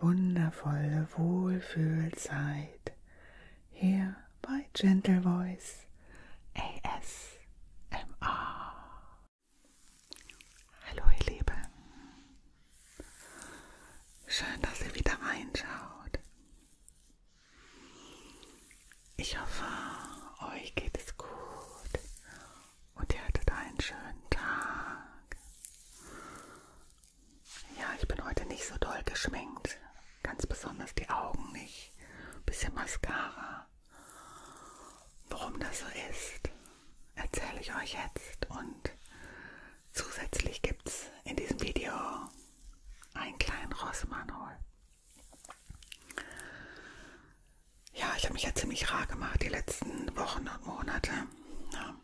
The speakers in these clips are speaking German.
wundervolle Wohlfühlzeit hier bei Gentle Voice ASMR. Hallo ihr Lieben, schön, dass ihr wieder reinschaut. Ich hoffe, euch geht es gut und ihr hattet einen schönen Tag. Ja, ich bin heute nicht so doll geschminkt. Ganz besonders die Augen nicht. Ein bisschen Mascara. Warum das so ist, erzähle ich euch jetzt. Und zusätzlich gibt es in diesem Video einen kleinen Rossmanol. Ja, ich habe mich ja ziemlich rar gemacht die letzten Wochen und Monate. Ja.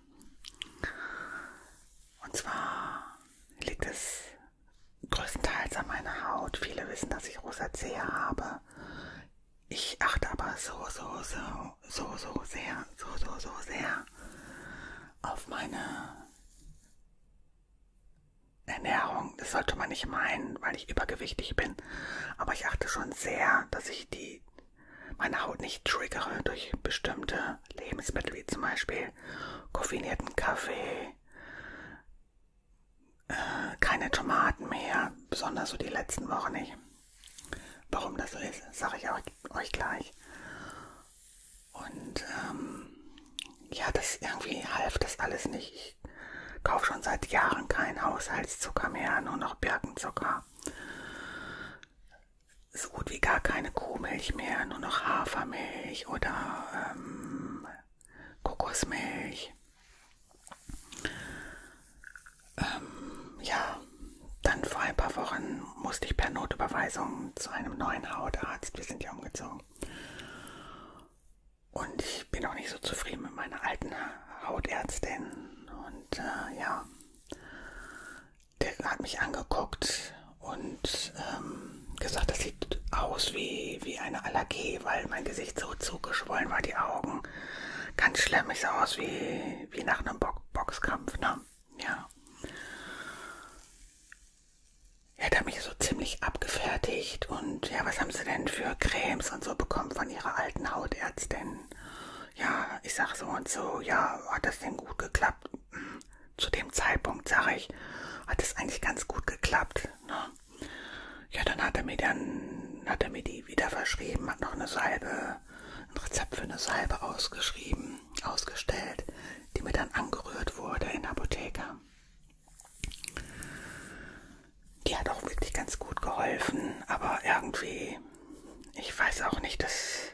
Und zwar liegt es größtenteils an meiner Haut. Viele wissen, dass ich Rosazea habe. Ich achte aber so, so, so, so, so sehr, so, so, so sehr auf meine Ernährung. Das sollte man nicht meinen, weil ich übergewichtig bin. Aber ich achte schon sehr, dass ich die meine Haut nicht triggere durch bestimmte Lebensmittel, wie zum Beispiel koffeinierten Kaffee, äh, keine Tomaten mehr, besonders so die letzten Wochen nicht. Warum das so ist, sage ich euch, euch gleich. Und ähm, ja, das irgendwie half das alles nicht. Ich kaufe schon seit Jahren keinen Haushaltszucker mehr, nur noch Birkenzucker so gut wie gar keine Kuhmilch mehr, nur noch Hafermilch oder ähm, Kokosmilch. Ähm, ja, dann vor ein paar Wochen musste ich per Notüberweisung zu einem neuen Hautarzt. Wir sind ja umgezogen. Und ich bin auch nicht so zufrieden mit meiner alten Hautärztin. Und äh, ja, der hat mich angeguckt und ähm, gesagt, das sieht aus wie, wie eine Allergie, weil mein Gesicht so zugeschwollen war, die Augen. Ganz schlimm, ich sah aus wie, wie nach einem Bo Boxkampf, ne? Ja. Er hat mich so ziemlich abgefertigt und ja, was haben sie denn für Cremes und so bekommen von ihrer alten Hautärztin? ja, ich sag so und so, ja, hat das denn gut geklappt? Hm, zu dem Zeitpunkt, sag ich, hat es eigentlich ganz gut geklappt. Ne? Ja, dann hat er mir dann, hat er mir die wieder verschrieben, hat noch eine Salbe, ein Rezept für eine Salbe ausgeschrieben, ausgestellt, die mir dann angerührt wurde in der Apotheke. Die hat auch wirklich ganz gut geholfen, aber irgendwie, ich weiß auch nicht, dass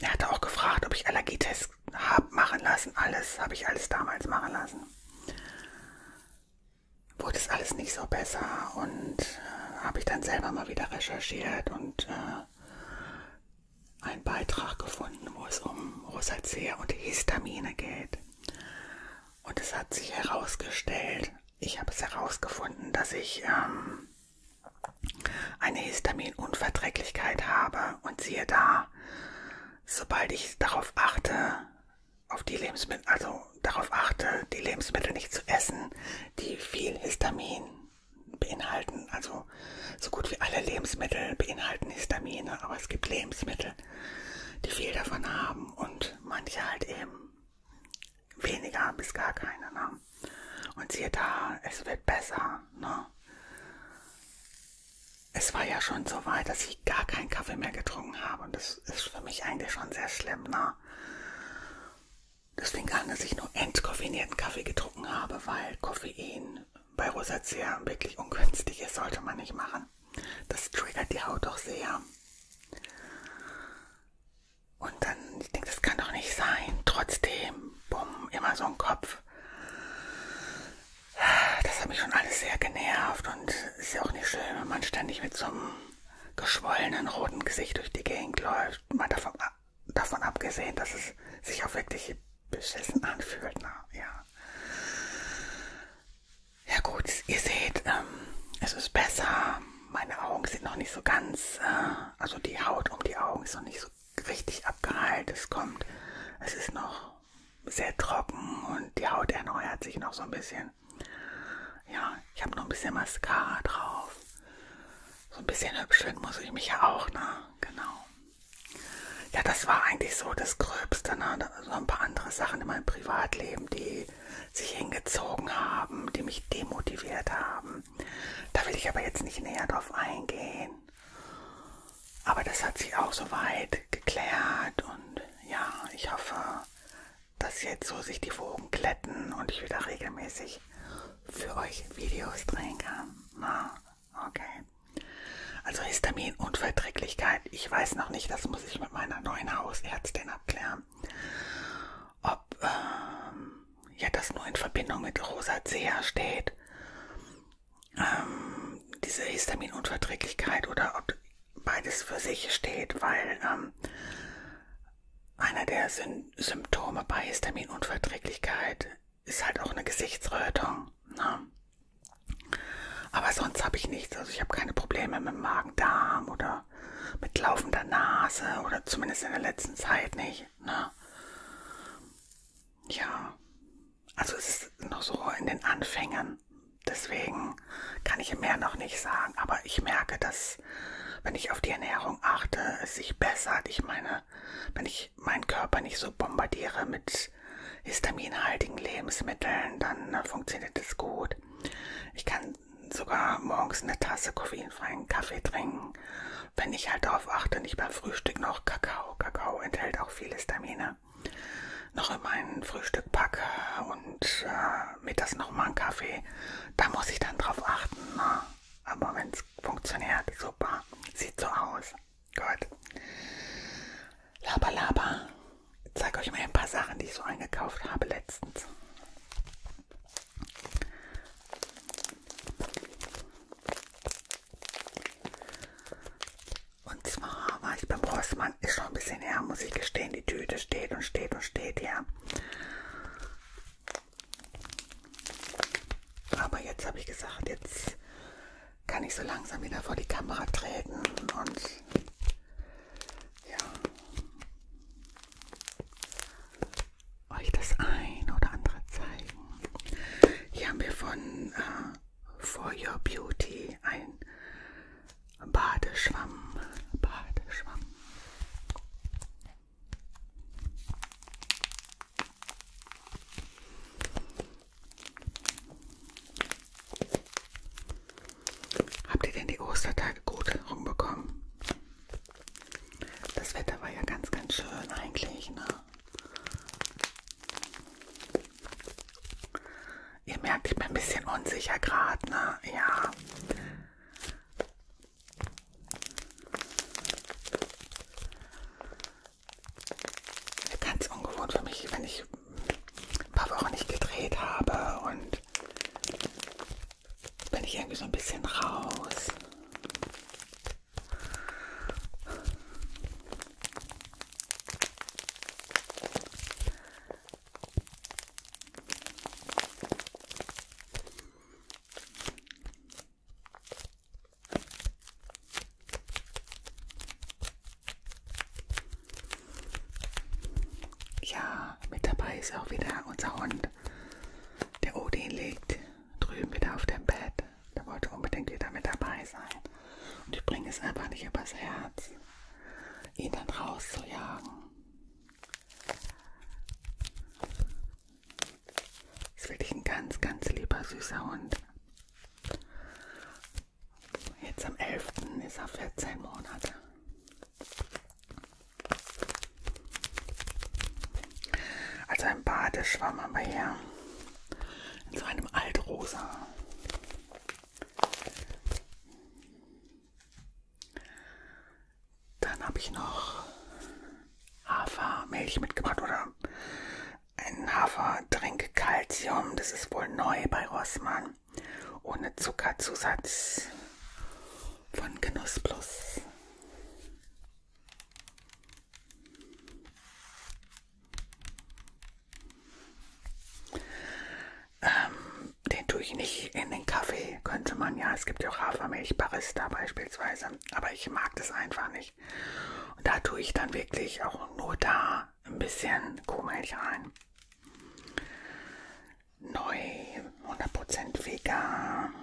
er hatte auch gefragt, ob ich Allergietests habe machen lassen. Alles habe ich alles damals machen lassen. Wurde es alles nicht so besser und äh, habe ich dann selber mal wieder recherchiert und äh, einen Beitrag gefunden, wo es um Rosacea und Histamine geht. Und es hat sich herausgestellt, ich habe es herausgefunden, dass ich ähm, eine Histaminunverträglichkeit habe. Und siehe da, sobald ich darauf achte, auf die Lebensmittel, also darauf achte, die Lebensmittel nicht zu essen, die viel Histamin beinhalten. Also so gut wie alle Lebensmittel beinhalten Histamine, aber es gibt Lebensmittel, die viel davon haben und manche halt eben weniger bis gar keine. Ne? Und siehe da, es wird besser. Ne? Es war ja schon so weit, dass ich gar keinen Kaffee mehr getrunken habe. Und das ist für mich eigentlich schon sehr schlimm. Ne? Das fing an, dass ich nur entkoffeinierten Kaffee getrunken habe, weil Koffein bei Rosacea wirklich ungünstig ist, sollte man nicht machen. Das triggert die Haut doch sehr. Und dann, ich denke, das kann doch nicht sein. Trotzdem, bumm, immer so ein Kopf. Das hat mich schon alles sehr genervt und ist ja auch nicht schön, wenn man ständig mit so einem geschwollenen roten Gesicht durch die Gegend läuft. Mal davon, davon abgesehen, dass es sich auch wirklich beschissen anfühlt. Na, ja. ja gut, ihr seht, ähm, es ist besser. Meine Augen sind noch nicht so ganz äh, also die Haut um die Augen ist noch nicht so richtig abgeheilt. Es kommt, es ist noch sehr trocken und die Haut erneuert sich noch so ein bisschen. Ja, ich habe noch ein bisschen Mascara drauf. So ein bisschen hübscheln muss ich mich ja auch, ne? Genau. Ja, das war eigentlich so das Gröbste, ne? So ein paar andere Sachen in meinem Privatleben, die sich hingezogen haben, die mich demotiviert haben. Da will ich aber jetzt nicht näher drauf eingehen. Aber das hat sich auch soweit geklärt und ja, ich hoffe, dass jetzt so sich die Wogen glätten und ich wieder regelmäßig für euch Videos drehen kann. Na, okay. Also Histaminunverträglichkeit, ich weiß noch nicht, das muss ich mit meiner neuen Hausärztin abklären. Ob ähm, ja, das nur in Verbindung mit Rosacea steht, ähm, diese Histaminunverträglichkeit oder ob beides für sich steht, weil ähm, einer der Syn Symptome bei Histaminunverträglichkeit ist halt auch eine Gesichtsrötung. Ne? Aber sonst habe ich nichts. Also ich habe keine Probleme mit Magen-Darm oder mehr mit laufender Nase oder zumindest in der letzten Zeit nicht. Ne? Ja, also es ist noch so in den Anfängen. Deswegen kann ich mehr noch nicht sagen, aber ich merke, dass wenn ich auf die Ernährung achte, es sich bessert. Ich meine, wenn ich meinen Körper nicht so bombardiere mit histaminhaltigen Lebensmitteln, dann ne, funktioniert es gut. Ich kann sogar morgens eine Tasse koffeinfreien Kaffee trinken, wenn ich halt darauf achte, nicht beim Frühstück noch Kakao. Kakao enthält auch viele Vitamine. Noch in mein Frühstück packe und äh, mir das nochmal einen Kaffee. Da muss ich dann drauf achten. Ne? Aber wenn es funktioniert, super. Sieht so aus. Gut. Laber, laber. Ich zeige euch mal ein paar Sachen, die ich so eingekauft habe letztens. Und zwar war ich beim Rossmann, ist schon ein bisschen her, muss ich gestehen, die Tüte steht und steht und steht, ja. Aber jetzt habe ich gesagt, jetzt kann ich so langsam wieder vor die Kamera treten und ja euch das ein oder andere zeigen. Hier haben wir von äh, For Your Beauty ein Badeschwamm. Badeschwamm. Habt ihr denn die Ostertage gut rumbekommen? Das Wetter war ja ganz, ganz schön eigentlich, ne? Ihr merkt, ich bin ein bisschen unsicher gerade, ne? Ja. Ganz ungewohnt für mich, wenn ich ein paar Wochen nicht gedreht habe und bin ich irgendwie so ein bisschen raus. Ja, mit dabei ist auch wieder unser Hund. Der Odin liegt drüben wieder auf dem Bett. Da wollte unbedingt wieder mit dabei sein. Und ich bringe es einfach nicht übers Herz, ihn dann rauszujagen. Ist wirklich ein ganz, ganz lieber, süßer Hund. Jetzt am 11. ist er 14 Monate. Also ein Badeschwamm haben wir hier. In so einem Altrosa. Dann habe ich noch Hafermilch mitgebracht oder ein Haferdrink Calcium. Das ist wohl neu bei Rossmann. Ohne Zuckerzusatz von Genuss Plus. Ähm, den tue ich nicht in den Kaffee, könnte man ja. Es gibt ja auch Hafermilch, Barista beispielsweise. Aber ich mag das einfach nicht. Und da tue ich dann wirklich auch nur da ein bisschen Kuhmilch rein neu, 100% vegan.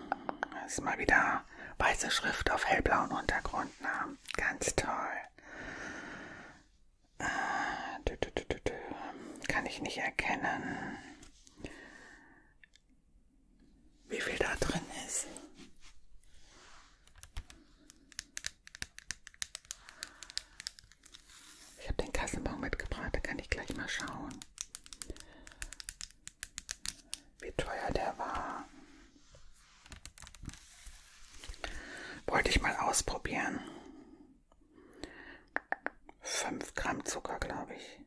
Das ist mal wieder weiße Schrift auf hellblauen Untergrund. Na, ne? ganz toll. Äh, dü, dü, dü, dü, Kann ich nicht erkennen, wie viel da drin ist. Ich habe den Kassenbon mitgebracht, da kann ich gleich mal schauen wie teuer der war. Wollte ich mal ausprobieren. 5 Gramm Zucker, glaube ich.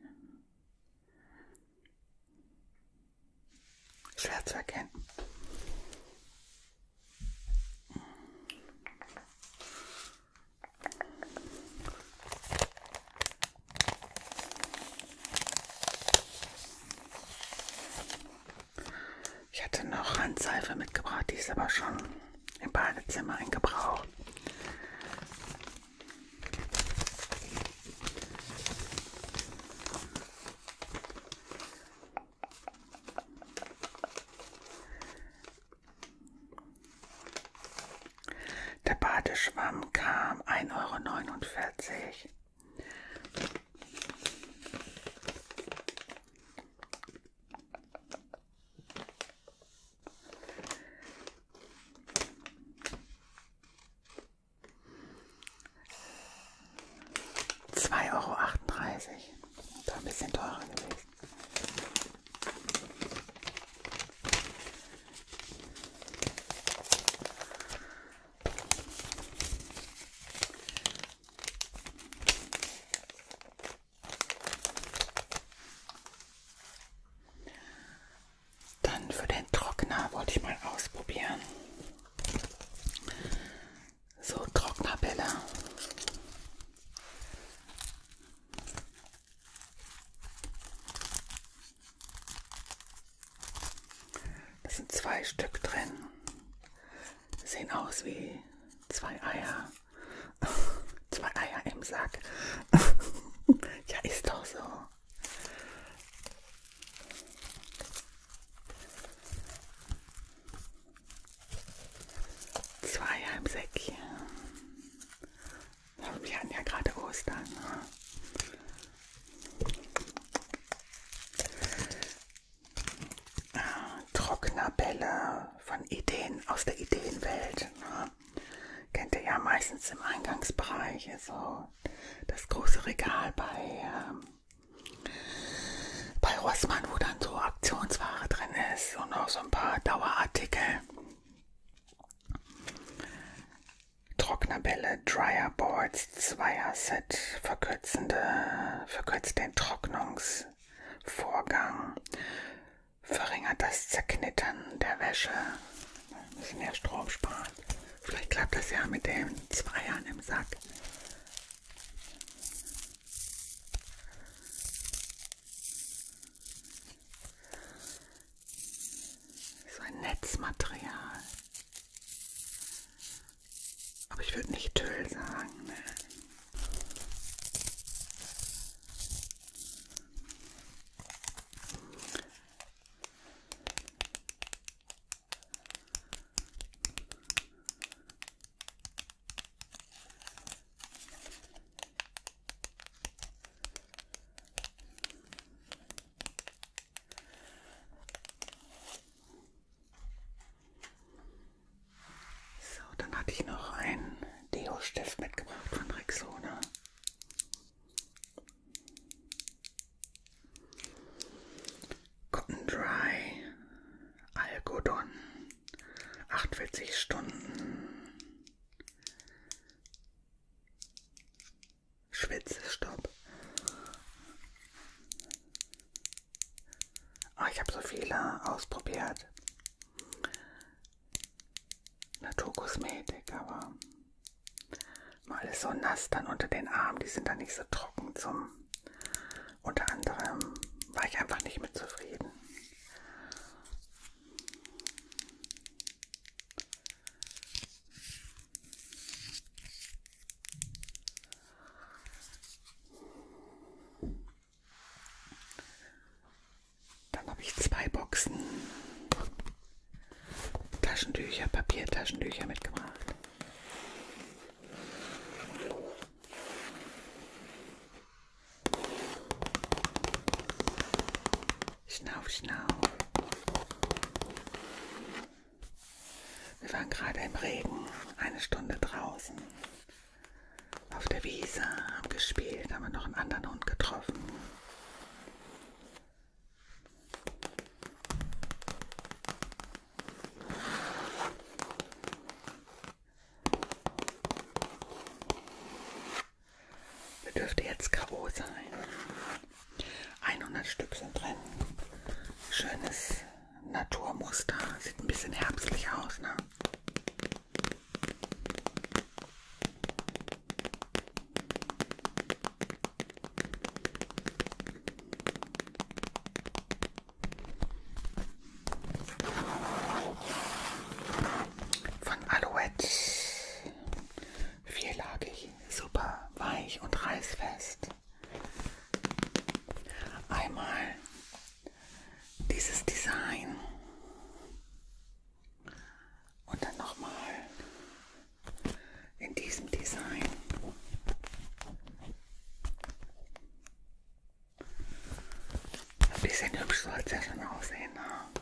Schwer zu erkennen. Ich hatte noch Handseife mitgebracht, die ist aber schon im Badezimmer in Gebrauch. Der Badeschwamm kam 1,49 Euro. Zwei Euro achtunddreißig, da ein bisschen teurer gewesen. Dann für den Trockner wollte ich mal ausprobieren. So Trocknerbälle. Das sind zwei Stück drin. Sehen aus wie zwei Eier. zwei Eier im Sack. ja, ist doch so. Zwei Eier im Säckchen. Wir hatten ja gerade Ostern. Ne? Äh, Trockner Bälle von Ideen aus der Ideenwelt. Ne? Kennt ihr ja meistens im Eingangsbereich, also das große Regal bei, ähm, bei Rossmann, wo dann so Aktionsware drin ist und auch so ein paar Dauerartikel. Trocknerbälle, Dryerboards, Zweier-Set, verkürzende, verkürzt den Trocknungsvorgang, verringert das Zerknittern der Wäsche, ein bisschen mehr Strom sparen. Vielleicht klappt das ja mit den Zweiern im Sack. So ein Netzmaterial. Aber ich würde nicht Tüll sagen. Ne? So, dann hatte ich noch einen Deo-Stift mitgebracht von Rexona. Cotton Dry Algodon 48 Stunden Schwitzstopp. Oh, ah, ich habe so viele ausprobiert. Naturkosmetik, aber mal ist so nass dann unter den Armen, die sind dann nicht so trocken zum. Unter anderem war ich einfach nicht mit zufrieden. Dann habe ich zwei Boxen Taschentücher, Papiertaschentücher mitgebracht. Schnauf, schnauf. Wir waren gerade im Regen, eine Stunde draußen. Auf der Wiese, haben gespielt, haben wir noch einen anderen Hund getroffen. Das dürfte jetzt K.O. sein. 100 Stück sind drin. Schönes Naturmuster. Sieht ein bisschen herbstlich aus, ne? Von Alouette vierlagig, super weich und reißfest. Einmal dieses Design und dann nochmal in diesem Design. Ein bisschen hübsch soll es ja schon aussehen. Ne?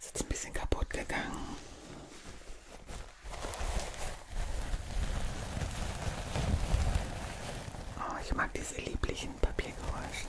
Ist jetzt ein bisschen kaputt gegangen. Oh, ich mag diese lieblichen Papiergeräusche.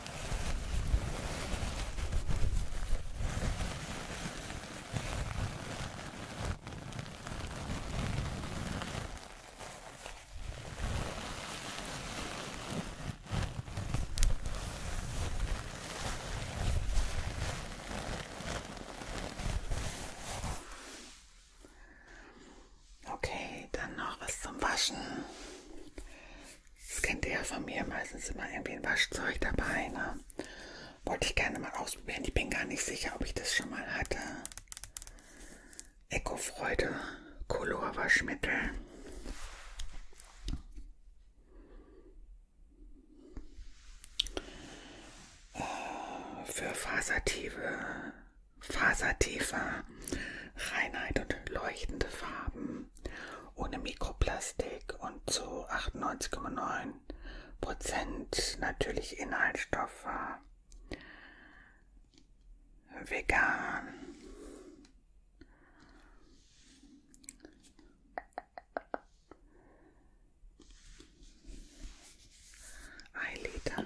Okay, dann noch was zum Waschen. Das kennt ihr ja von mir, meistens immer irgendwie ein Waschzeug dabei. Ne? Wollte ich gerne mal ausprobieren. Ich bin gar nicht sicher, ob ich das schon mal hatte. Ecofreude Colorwaschmittel. Oh, für fasertiefe, fasertiefe Reinheit und leuchtende Farben ohne Mikroplastik und zu 98,9% natürlich Inhaltsstoffe. Vegan. Eileiter.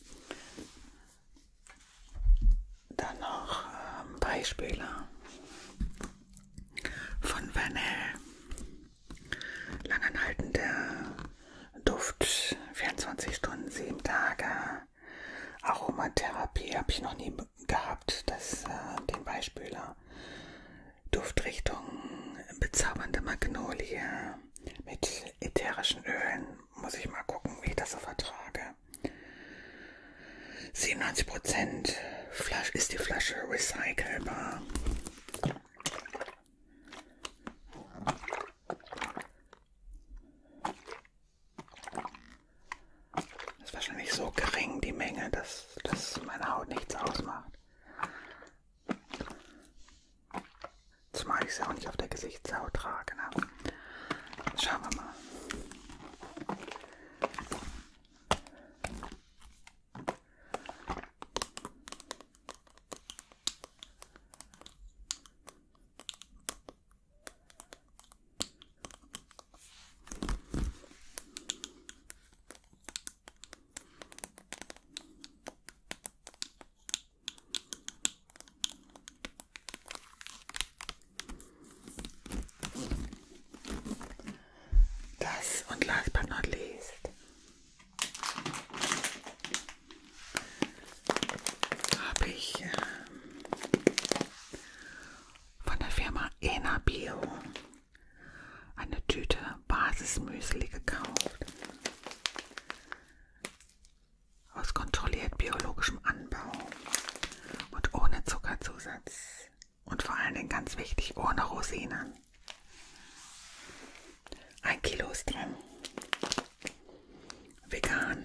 Dann noch ähm, Beispiele von Vanel. Langanhaltender Duft, 24 Stunden, 7 Tage. Aromatherapie habe ich noch nie gehabt, das, äh, den Beispieler. Duftrichtung, bezaubernde Magnolie mit ätherischen Ölen muss ich mal gucken, wie ich das so vertrage. 97% Flasch ist die Flasche recycelbar. Das ist wahrscheinlich so gering die Menge, dass das meine Haut nichts ausmacht. Zumal ich sie auch nicht auf der Gesichtshaut trage. Ne? Schauen wir mal. Das und last but not least. Habe ich ähm, von der Firma Enabio eine Tüte Basismüsli gekauft aus kontrolliert biologischem Anbau und ohne Zuckerzusatz und vor allen Dingen ganz wichtig ohne Rosinen. Ein Kilo ist drin. Vegan.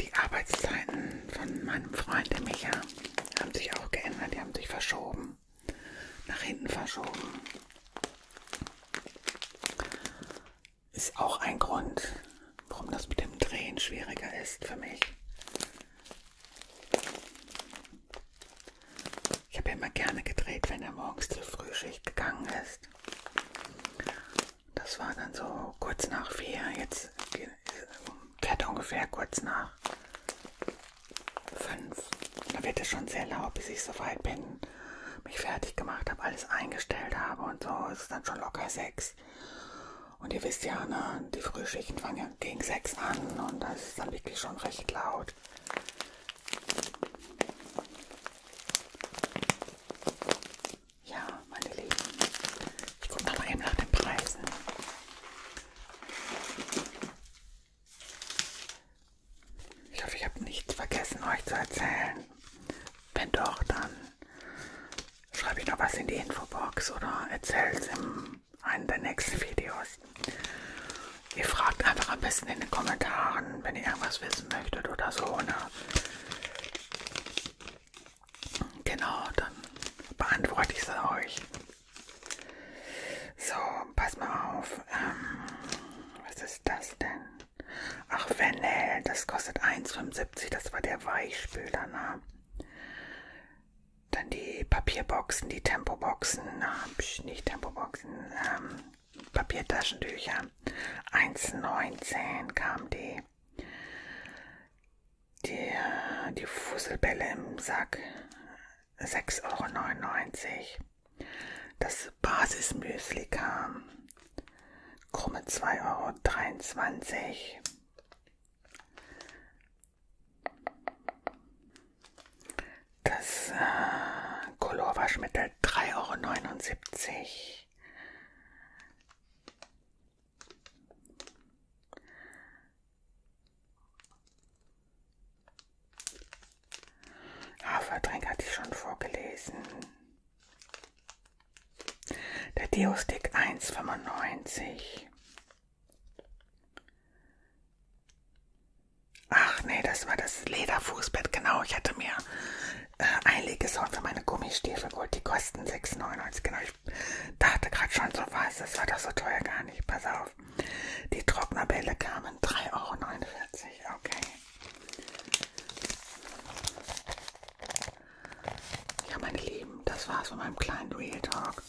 Die Arbeitszeiten von meinem Freund, der Micha, haben sich auch geändert. Die haben sich verschoben. Nach hinten verschoben. Ist auch ein Grund, warum das mit dem Drehen schwieriger ist für mich. Ich habe immer gerne gedreht, wenn er morgens zur Frühschicht gegangen ist. Das war dann so kurz nach vier. Jetzt fährt ungefähr kurz nach fünf. Da wird es schon sehr laut, bis ich soweit bin, mich fertig gemacht habe, alles eingestellt habe und so. Es ist dann schon locker sechs. Und ihr wisst ja, ne, die Frühschichten fangen ja gegen sechs an und das ist dann wirklich schon recht laut. Ja, meine Lieben. Ich gucke noch mal eben nach den Preisen. Ich hoffe, ich habe nichts vergessen, euch zu erzählen. Wenn doch, dann schreibe ich noch was in die Infobox oder erzähle es in einem der nächsten Videos. Ihr fragt einfach am besten in den Kommentaren, wenn ihr irgendwas wissen möchtet oder so. Ne? Genau, dann beantworte ich sie euch. So, pass mal auf. Ähm, was ist das denn? Ach, Vanel, das kostet 1,75. Das war der Weichspüler, ne? Dann die Papierboxen, die Tempoboxen, äh, nicht Tempoboxen, ähm, Papiertaschentücher. 1,19 kamen die. Die, die Fusselbälle im Sack 6,99 Euro. Das Basismüsli kam. Krumme 2,23 Euro. Das äh, Colorwaschmittel 3,79 Euro. Haferdrink hatte ich schon vorgelesen. Der Deo-Stick 1,95. Ach nee, das war das Lederfußbett, genau. Ich hatte mir äh, Einlegesound für meine Gummistiefel geholt. Die kosten 6,99. Genau, ich dachte gerade schon so was, das war doch so teuer gar nicht. Pass auf. Die Trocknerbälle kamen 3,49 Euro. Okay. Ja, meine Lieben, das war's von meinem kleinen Real Talk.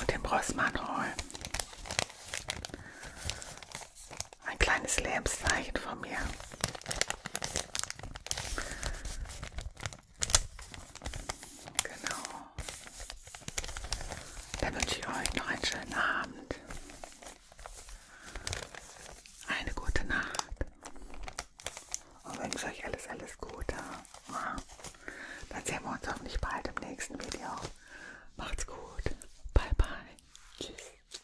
Und dem Rossmann Hall. Ein kleines Lebenszeichen von mir. Genau. Dann wünsche ich euch noch einen schönen Abend. Eine gute Nacht. Und wünsche euch alles, alles Gute. Dann sehen wir uns hoffentlich bald im nächsten Video. Macht's gut. Bye, bye. Tschüss.